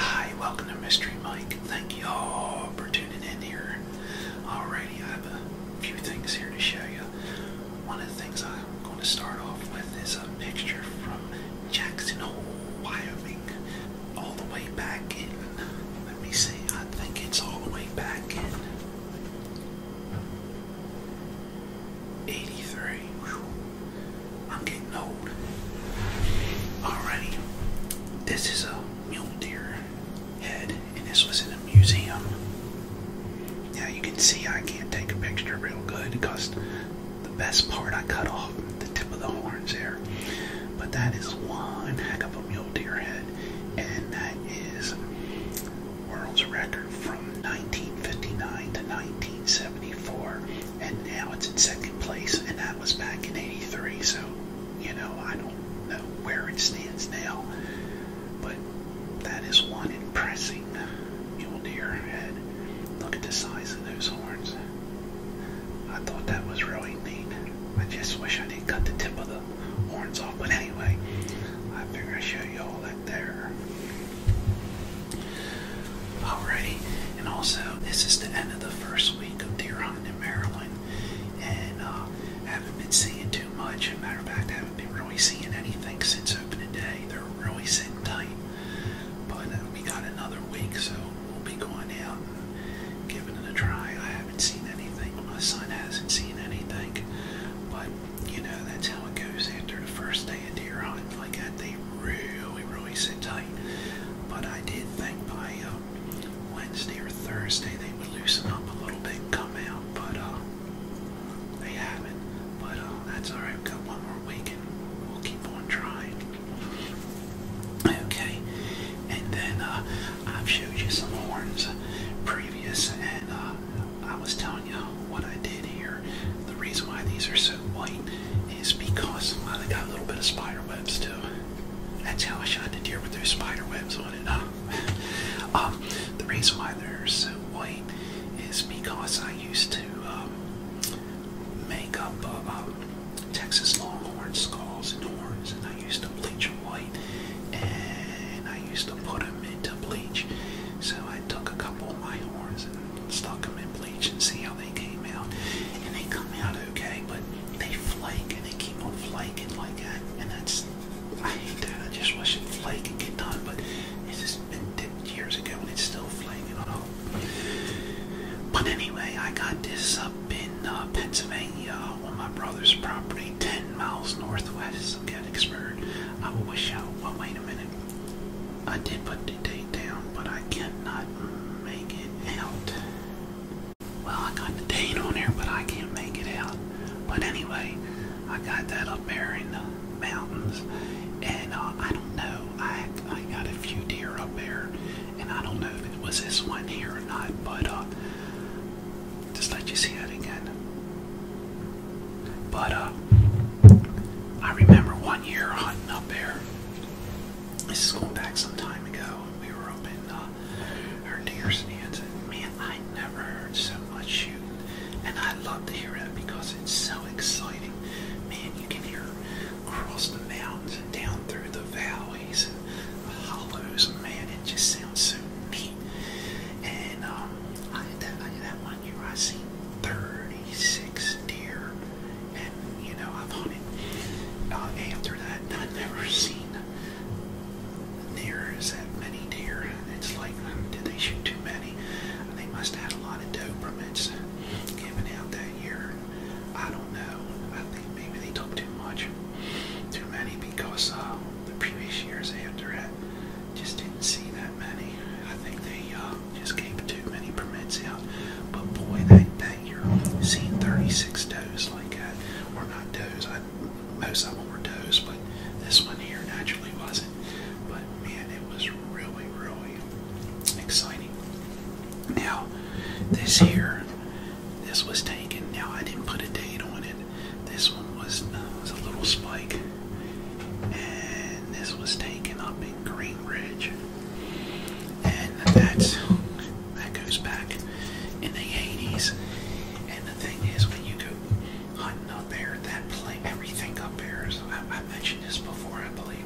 Hi, welcome to Mystery Mike. Thank you all for tuning in here. Alrighty, I have a few things here to show you. One of the things I'm going to start off with is a picture from Jackson Hole, Wyoming, all the way back in, let me see, I think it's all the way back in 83. I'm getting old. Alrighty, this is a mule deer head, and this was in a museum. Now you can see I can't take a picture real good because the best part I cut off the tip of the horns there. But that is one heck of a mule deer head, and that is world's record from 1959 to 1974 and now it's in second place, and that was back in '83. So, you know, I don't know where it stands now, but that is one impressive mule deer head. Look at the size of those horns. I thought that was really neat. I just wish I didn't cut the tip of the horns off, but anyway, I figure I show you all that there. Alrighty, and also this is the end of the first week of deer hunting in Maryland, and uh, haven't been seeing too much. As a matter of fact, I haven't been really seeing anything since opening day. They're really sitting tight, but uh, we got another week, so we'll be going out and giving it a try. I haven't seen anything. My son hasn't seen anything, but you know that's how it goes after the first day stand here like that. Uh, they really, really sit tight. But I did think by uh, Wednesday or Thursday they would loosen up a little bit and come out. But uh, they haven't. But that's alright. We've got one more week and we'll keep on trying. Okay. And then I've showed you some horns previous and I was telling you what I did here here. The reason why these are so white is because some of got a little bit of spider webs too. That's how I shot the deer with those spider webs on it. Huh? um, the reason why they're so white is because I used to um, make up uh, um, Texas Longhorn skulls and horns, and I used to bleach them white, and I used to put them into bleach. So I took a couple of my horns and stuck them in bleach and see how they they came out, and they come out okay, but they flake and they keep on flaking like that, and that's I hate that. I just wish it flake and get done, but it's just been dipped years ago and it's still flaking off. But anyway, I got this up in uh, Pennsylvania on my brother's property, ten miles northwest of Gettysburg. I wish I. Well, wait a minute. I did put the date down, but I cannot make it out. Well, I got the date on here, but I can't make it out. But anyway, I got that up there in the mountains, and uh, I don't know. I I got a few deer up there, and I don't know if it was this one here or not. But uh, just let you see that again. But uh, I remember one year hunting up there. This is going back some time ago and we were up in uh, our deer stands, and man, I never heard so much shooting, and I love to hear it because it's so exciting. Man, you can hear across the mountains and down through the valleys and hollows. Man, it just sounds so neat. And um, I had that, I had that one telling you, I've seen 36 deer, and you know, I've hunted uh, after that, and I've never seen near as that many deer. It's like, um, did they shoot too many? They must have had a lot of Dobermans given out that year. I don't know. I think maybe they took too much, too many, because uh, the previous years after that just didn't see that many. I think they uh, just gave too many permits out. But boy, that, that year, seeing 36 does like that, or not does, I, most of them were does, but this one here naturally wasn't. But man, it was really, really exciting. Now, this here, this was taken. Now, I didn't put a date on it. This one was, uh, was a little spike and this was taken up in Greenridge, and that's that goes back in the 80s. And the thing is, when you go hunting up there, that place, everything up there. Is, I, mentioned this before, I believe.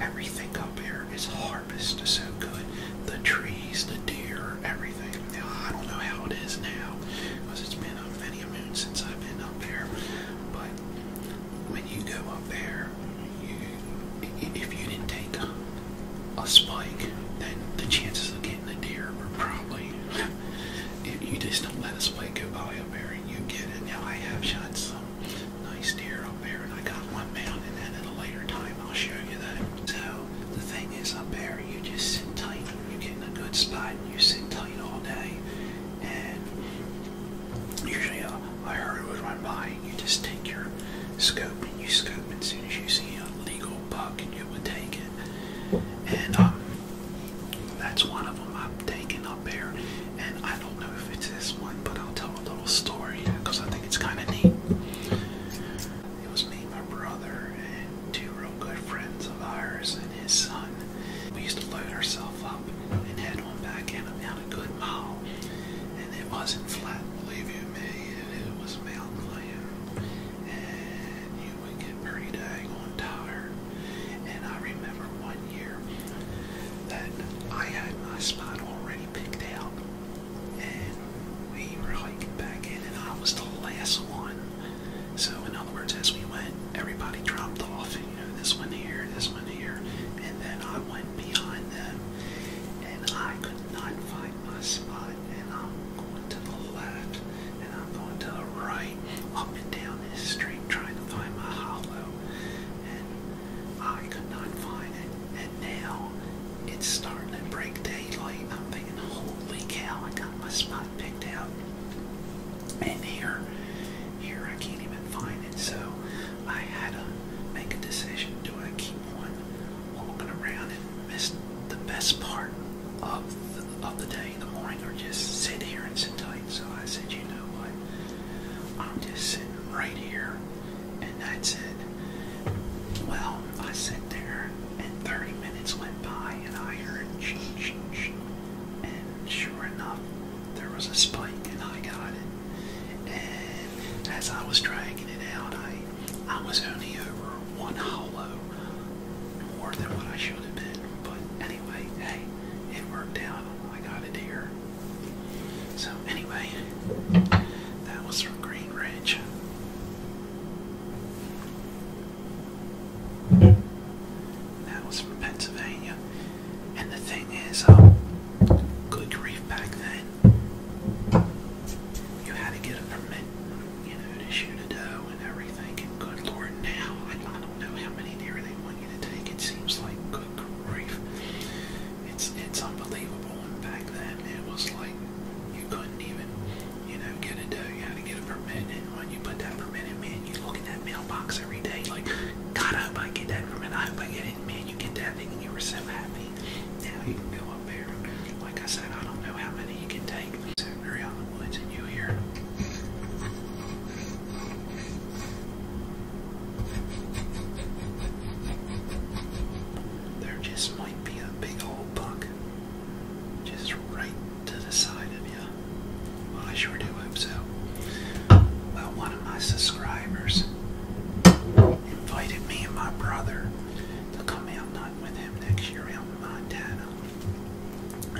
Everything up there is harvested so good. The trees, the deer, everything. I don't know how it is now because it's been a many a moon since I've been up there. But when you go up there, you, if you didn't take a, spike, then the chances of getting a deer are probably. If you just don't let a spike go by up there, and you get it. Now I have shot some nice deer up there, and I got one mounted, and then at a later time I'll show you that. So the thing is, up there you just sit tight. You get in a good spot, and you sit tight all day, Usually, uh, I heard it was when buying, you just take your scope and you scope, and as soon as you see a legal buck, and you would take it. And um, that's one of them I've taken up here. And I don't know if it's this one, but I'll tell a little story because uh, I think it's kind of neat. It was me, my brother, and two real good friends of ours, and his son. We used to load ourselves up up and had one back in about a good mile. And it wasn't flat, believe you me, it was mountain land. And you would get pretty dang on tired. And I remember one year that I had my spot already picked out. And we were hiking back in and I was the last one so in other words, as we went, everybody dropped off. You know, this one here, this one here, and then I went behind them, and I could not find my spot. And I'm going to the left, and I'm going to the right, up and down this street, trying to find my hollow, and I could not find it. And now it's starting to break daylight. I'm thinking, holy cow, I got my spot picked out. And here, here I can't even find it. So I had to make a decision: do I keep one, walking around and miss the best part of the, of the day, the morning, or just sit here and sit tight? So I said, you know what? I'm just sitting right here, and that's it. Well, I sat there, and 30 minutes went by, and I heard shh, shh, shh, and sure enough, there was a spike, and I got it. And as I was dragging it out, I I was only over one hollow more than what I should have been. But anyway, hey, it worked out. I got it here. So anyway, that was from Green Ridge. That was from Pennsylvania. And the thing is, um, good grief back then, you had to get a permit, you know, to shoot a doe and everything. And good lord, now, I don't know how many deer they want you to take. It seems like good grief. It's, it's unbelievable. And back then, it was like you couldn't even, you know, get a doe. You had to get a permit when you put that permit in, man, you look in that mailbox every day, like, God, I hope I get that permit, I hope I get it, man, you get that thing and you were so happy. Now you can go up there. Like I said, I don't know how many you can take. So you're out in the woods and you hear. There just might be a big old buck just right to the side of you. Well, I sure do hope so. Well, one of my subscribers invited me and my brother to come out with him next year in Montana.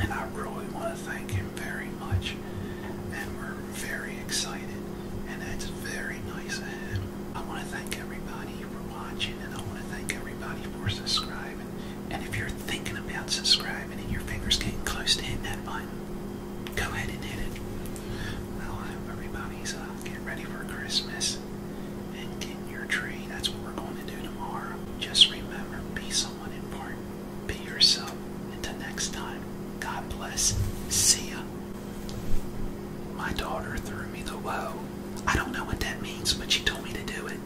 And I really want to thank him very much. And we're very excited. And that's very nice of him. I want to thank everybody for watching and I want to thank everybody for subscribing. And if you're thinking about subscribing and your finger's getting close to hitting that button, go ahead and hit it. Well, I hope everybody's uh, getting ready for Christmas and getting your tree. That's what we're going to do tomorrow. Just remember, be someone important. Be yourself. Until next time, God bless. See ya. My daughter threw me the woe. I don't know what that means, but she told me to do it.